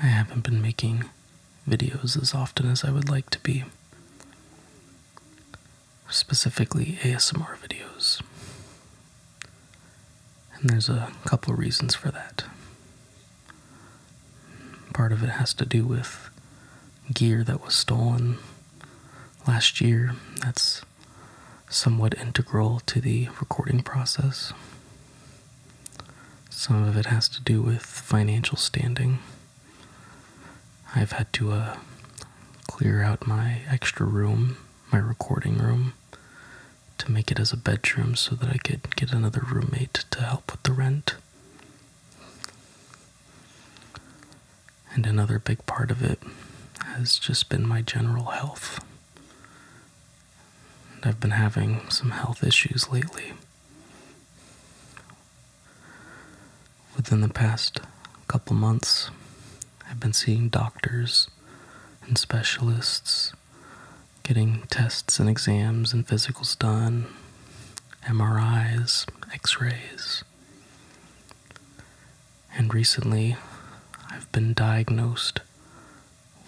I haven't been making videos as often as I would like to be, specifically ASMR videos. And there's a couple reasons for that. Part of it has to do with gear that was stolen last year. That's somewhat integral to the recording process. Some of it has to do with financial standing. I've had to uh, clear out my extra room, my recording room, to make it as a bedroom so that I could get another roommate to help with the rent. And another big part of it has just been my general health. I've been having some health issues lately. Within the past couple months, I've been seeing doctors and specialists, getting tests and exams and physicals done, MRIs, x rays and recently I've been diagnosed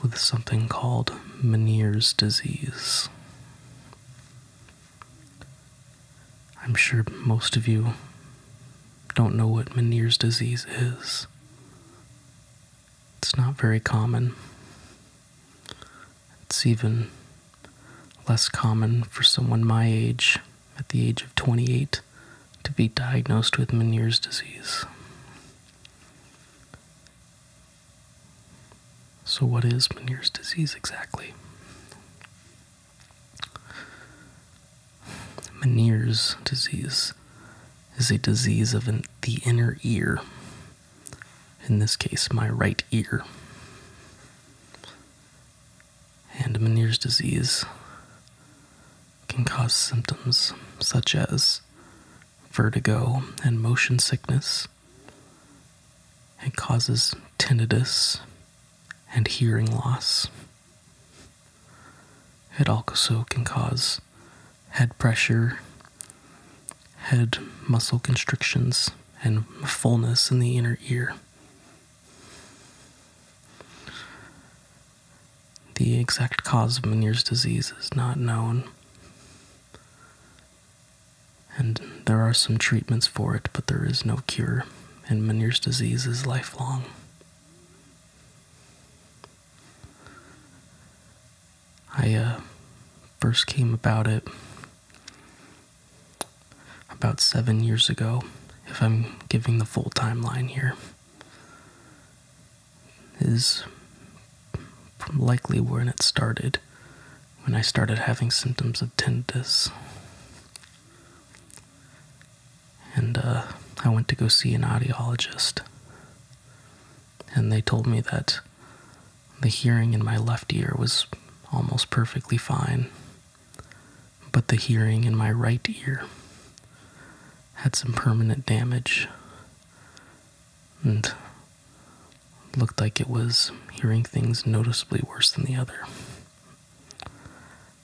with something called Meniere's disease. I'm sure most of you don't know what Meniere's disease is. It's not very common. It's even less common for someone my age, at the age of 28 to be diagnosed with Meniere's disease. So, what is Meniere's disease exactly? Meniere's disease is a disease of the inner ear, in this case, my right ear. And Meniere's disease can cause symptoms such as vertigo and motion sickness. It causes tinnitus and hearing loss. It also can cause head pressure, head muscle constrictions, and fullness in the inner ear. The exact cause of Meniere's disease is not known, and there are some treatments for it, but there is no cure, and Meniere's disease is lifelong. I uh, first came about it about seven years ago, if I'm giving the full timeline here is likely when it started, when I started having symptoms of tinnitus. And uh, I went to go see an audiologist, and they told me that the hearing in my left ear was almost perfectly fine, but the hearing in my right ear had some permanent damage and looked like it was hearing things noticeably worse than the other.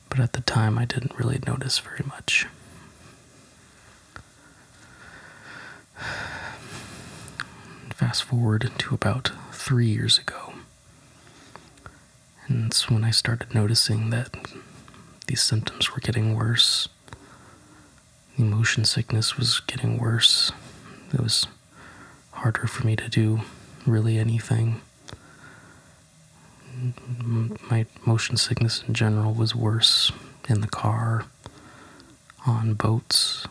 But at the time, I didn't really notice very much. Fast forward to about three years ago, and it's when I started noticing that these symptoms were getting worse. The motion sickness was getting worse. It was harder for me to do really anything. My motion sickness in general was worse in the car, on boats,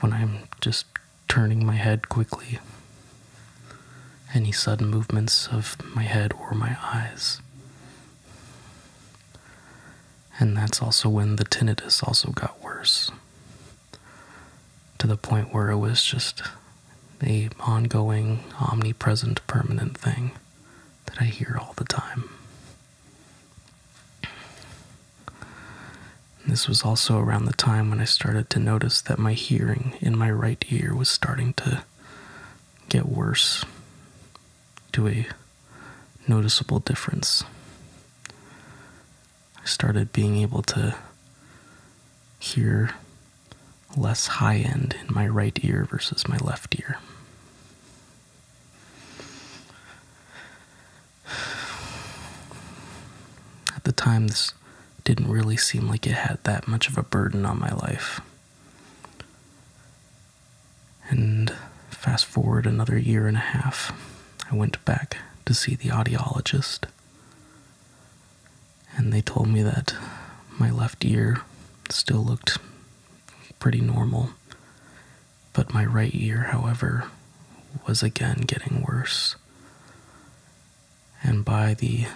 when I'm just turning my head quickly any sudden movements of my head or my eyes. And that's also when the tinnitus also got worse to the point where it was just a ongoing, omnipresent, permanent thing that I hear all the time. This was also around the time when I started to notice that my hearing in my right ear was starting to get worse to a noticeable difference. I started being able to hear less high end in my right ear versus my left ear. At the time, this didn't really seem like it had that much of a burden on my life. And fast forward another year and a half, I went back to see the audiologist. And they told me that my left ear still looked pretty normal, but my right ear, however, was again getting worse and by the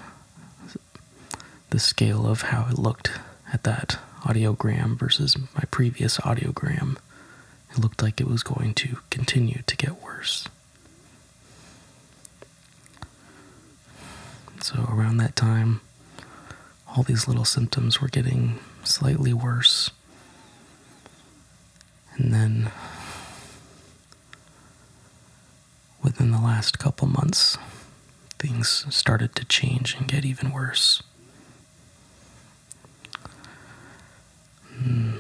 the scale of how it looked at that audiogram versus my previous audiogram, it looked like it was going to continue to get worse. So, around that time, all these little symptoms were getting slightly worse. And then within the last couple months, things started to change and get even worse. Hmm.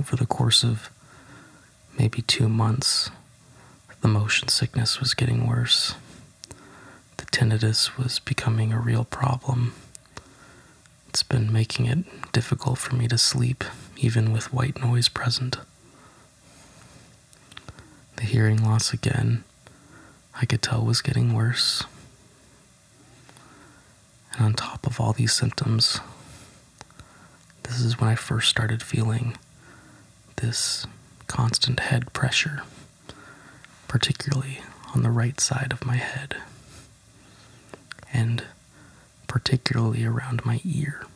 over the course of maybe two months, the motion sickness was getting worse. The tinnitus was becoming a real problem. It's been making it difficult for me to sleep, even with white noise present. The hearing loss again, I could tell was getting worse. And on top of all these symptoms, this is when I first started feeling this constant head pressure, particularly on the right side of my head, and particularly around my ear.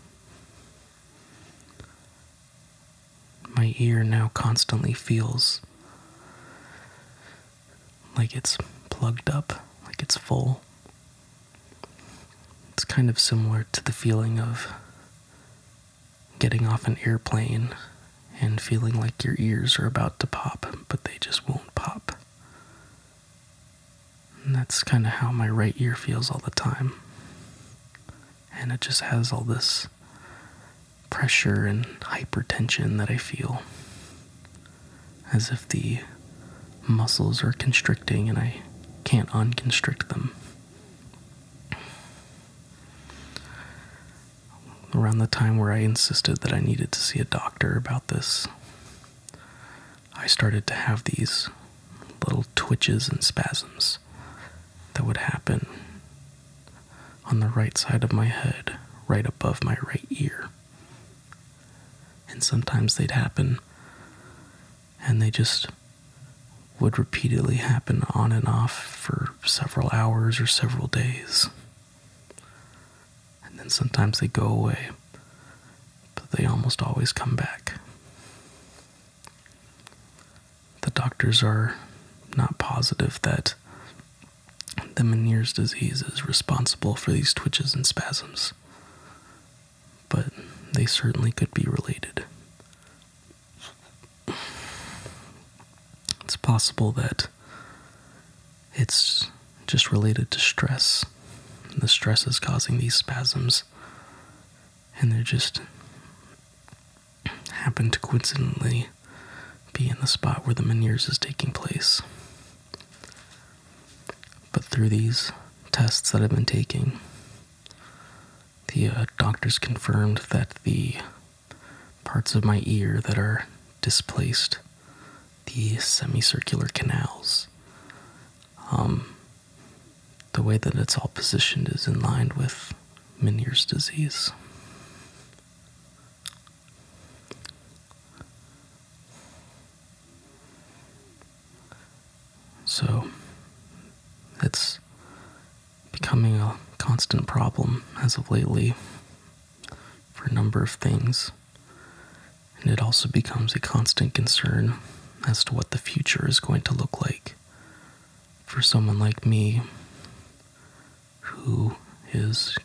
My ear now constantly feels like it's plugged up, like it's full. It's kind of similar to the feeling of getting off an airplane and feeling like your ears are about to pop, but they just won't pop. And that's kind of how my right ear feels all the time and it just has all this pressure and hypertension that I feel as if the muscles are constricting and I can't unconstrict them. Around the time where I insisted that I needed to see a doctor about this, I started to have these little twitches and spasms that would happen on the right side of my head, right above my right ear. And sometimes they'd happen, and they just would repeatedly happen on and off for several hours or several days. And then sometimes they go away, but they almost always come back. The doctors are not positive that the Meniere's disease is responsible for these twitches and spasms, but they certainly could be related. It's possible that it's just related to stress. The stress is causing these spasms, and they just happened to coincidentally be in the spot where the Meniere's is taking place. But through these tests that I've been taking, the uh, doctors confirmed that the parts of my ear that are displaced, the semicircular canals, um, the way that it's all positioned is in line with Minier's disease. So it's becoming a constant problem as of lately for a number of things. And it also becomes a constant concern as to what the future is going to look like for someone like me who is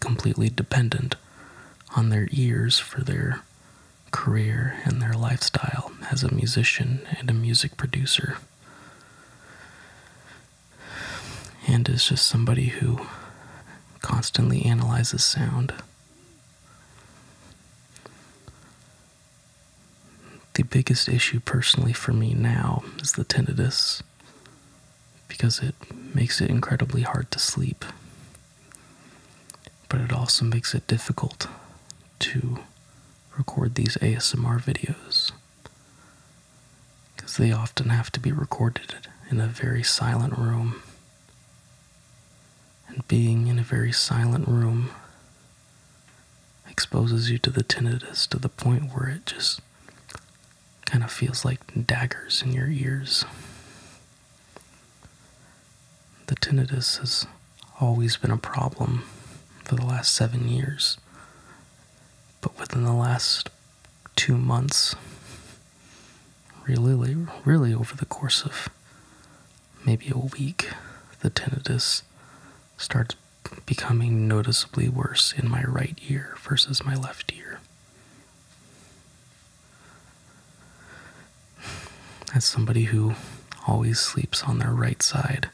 completely dependent on their ears for their career and their lifestyle as a musician and a music producer. And is just somebody who constantly analyzes sound. The biggest issue personally for me now is the tinnitus because it makes it incredibly hard to sleep, but it also makes it difficult to record these ASMR videos because they often have to be recorded in a very silent room. And being in a very silent room exposes you to the tinnitus to the point where it just kind of feels like daggers in your ears. The tinnitus has always been a problem for the last seven years, but within the last two months, really, really over the course of maybe a week, the tinnitus starts becoming noticeably worse in my right ear versus my left ear. As somebody who always sleeps on their right side,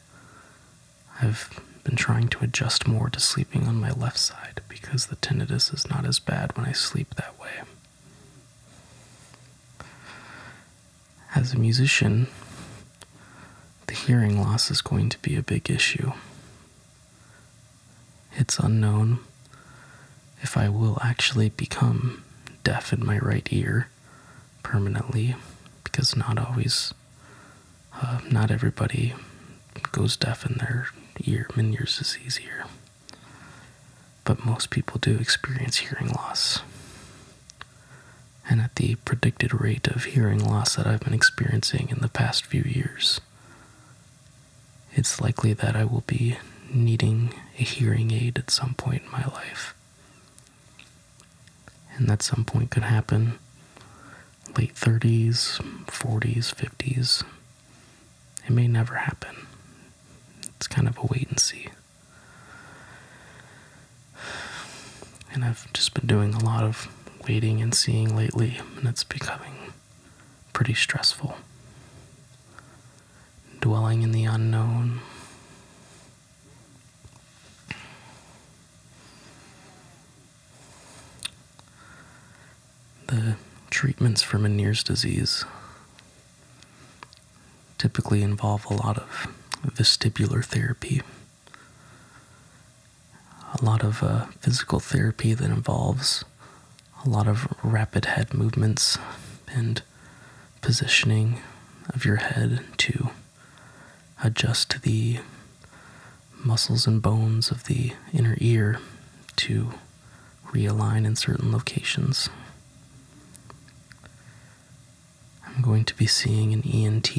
I've been trying to adjust more to sleeping on my left side because the tinnitus is not as bad when I sleep that way as a musician, the hearing loss is going to be a big issue. It's unknown if I will actually become deaf in my right ear permanently because not always, uh, not everybody goes deaf in their ear. Meniere's disease ear. But most people do experience hearing loss and at the predicted rate of hearing loss that I've been experiencing in the past few years. It's likely that I will be needing a hearing aid at some point in my life. And that some point could happen late 30s, 40s, 50s. It may never happen. It's kind of a wait and see. And I've just been doing a lot of waiting and seeing lately, and it's becoming pretty stressful. Dwelling in the unknown. The treatments for Meniere's disease typically involve a lot of vestibular therapy, a lot of uh, physical therapy that involves a lot of rapid head movements and positioning of your head to adjust the muscles and bones of the inner ear to realign in certain locations. I'm going to be seeing an ENT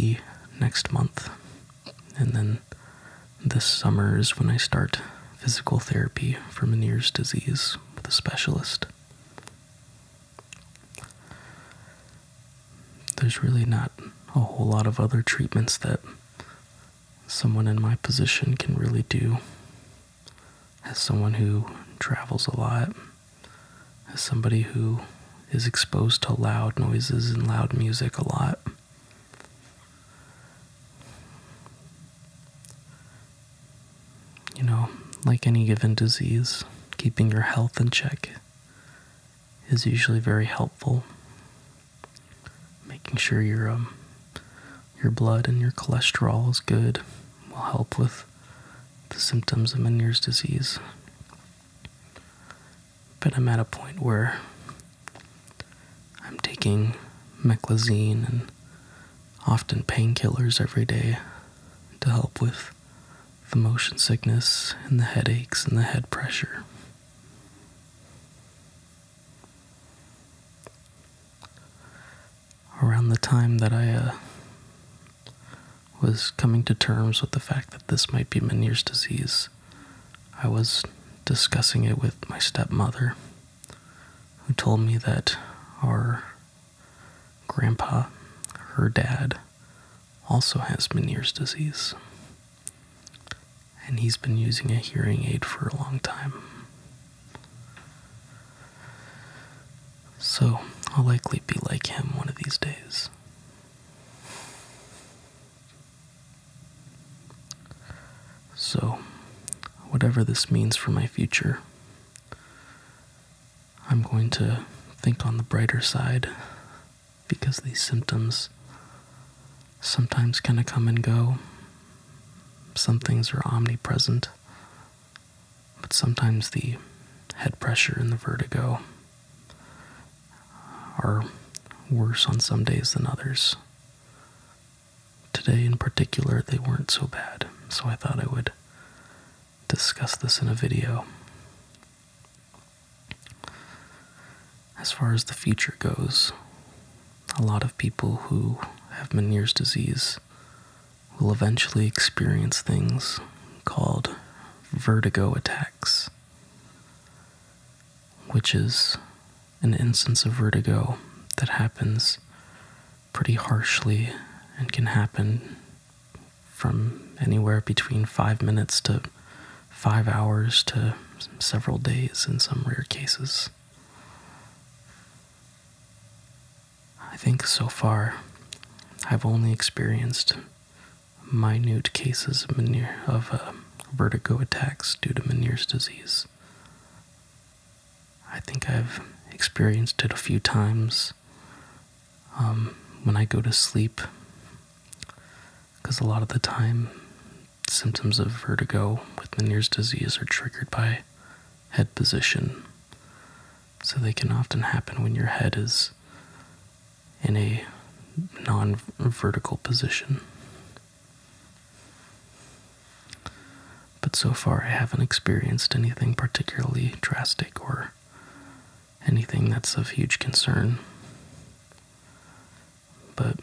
next month. And then this summer is when I start physical therapy for Meniere's disease with a specialist. There's really not a whole lot of other treatments that someone in my position can really do. As someone who travels a lot as somebody who is exposed to loud noises and loud music a lot. You know, like any given disease, keeping your health in check is usually very helpful. Making sure your um, your blood and your cholesterol is good will help with the symptoms of Meniere's disease. But I'm at a point where I'm taking meclizine and often painkillers every day to help with the motion sickness and the headaches and the head pressure around the time that I uh, was coming to terms with the fact that this might be Meniere's disease, I was discussing it with my stepmother, who told me that our grandpa, her dad, also has Meniere's disease. And he's been using a hearing aid for a long time. So I'll likely be like him one of these days. So, whatever this means for my future, I'm going to think on the brighter side because these symptoms sometimes kind of come and go. Some things are omnipresent, but sometimes the head pressure and the vertigo are worse on some days than others. Today, in particular, they weren't so bad, so I thought I would discuss this in a video. As far as the future goes, a lot of people who have Meniere's disease will eventually experience things called vertigo attacks, which is an instance of vertigo that happens pretty harshly and can happen from anywhere between five minutes to five hours to several days in some rare cases. I think so far I've only experienced minute cases of, uh, vertigo attacks due to Meniere's disease. I think I've experienced it a few times um, when I go to sleep, because a lot of the time, symptoms of vertigo with Meniere's disease are triggered by head position. So they can often happen when your head is in a non vertical position. But so far, I haven't experienced anything particularly drastic or anything that's of huge concern. But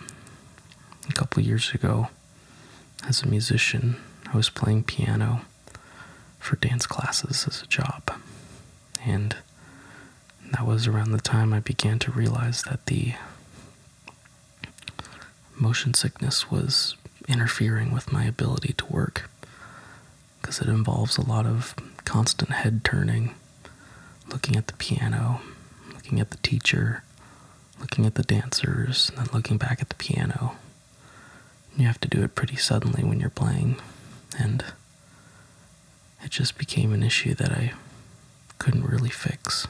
a couple years ago, as a musician, I was playing piano for dance classes as a job. And that was around the time I began to realize that the motion sickness was interfering with my ability to work because it involves a lot of constant head turning, looking at the piano, looking at the teacher, looking at the dancers, and then looking back at the piano. You have to do it pretty suddenly when you're playing, and it just became an issue that I couldn't really fix.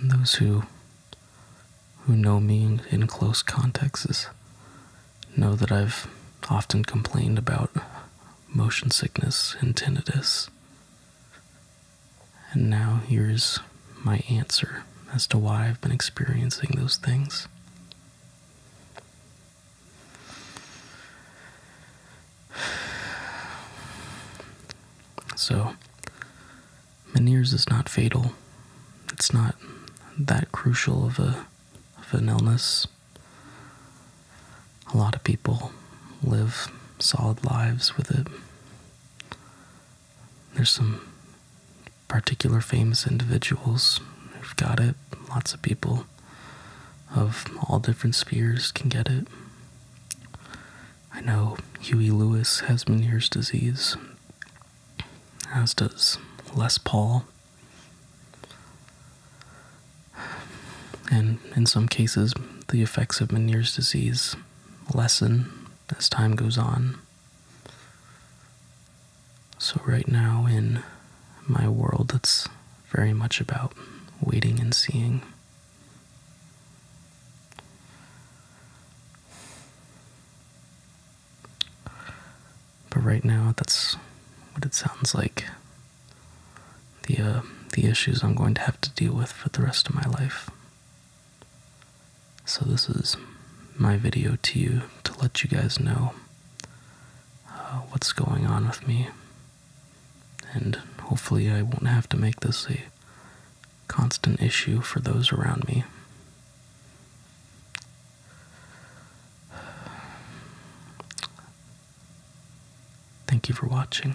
And those who who know me in close contexts know that I've often complained about motion sickness and tinnitus and now here's my answer as to why I've been experiencing those things. So, Meniere's is not fatal. It's not that crucial of a of an illness. A lot of people live solid lives with it. There's some particular famous individuals who've got it. Lots of people of all different spheres can get it. I know Huey Lewis has Meniere's disease, as does Les Paul. And in some cases, the effects of Meniere's disease lessen as time goes on. So, right now, in my world, that's very much about waiting and seeing. But right now, that's what it sounds like. The, uh, the issues I'm going to have to deal with for the rest of my life. So, this is my video to you to let you guys know uh, what's going on with me. And hopefully, I won't have to make this a constant issue for those around me. Thank you for watching.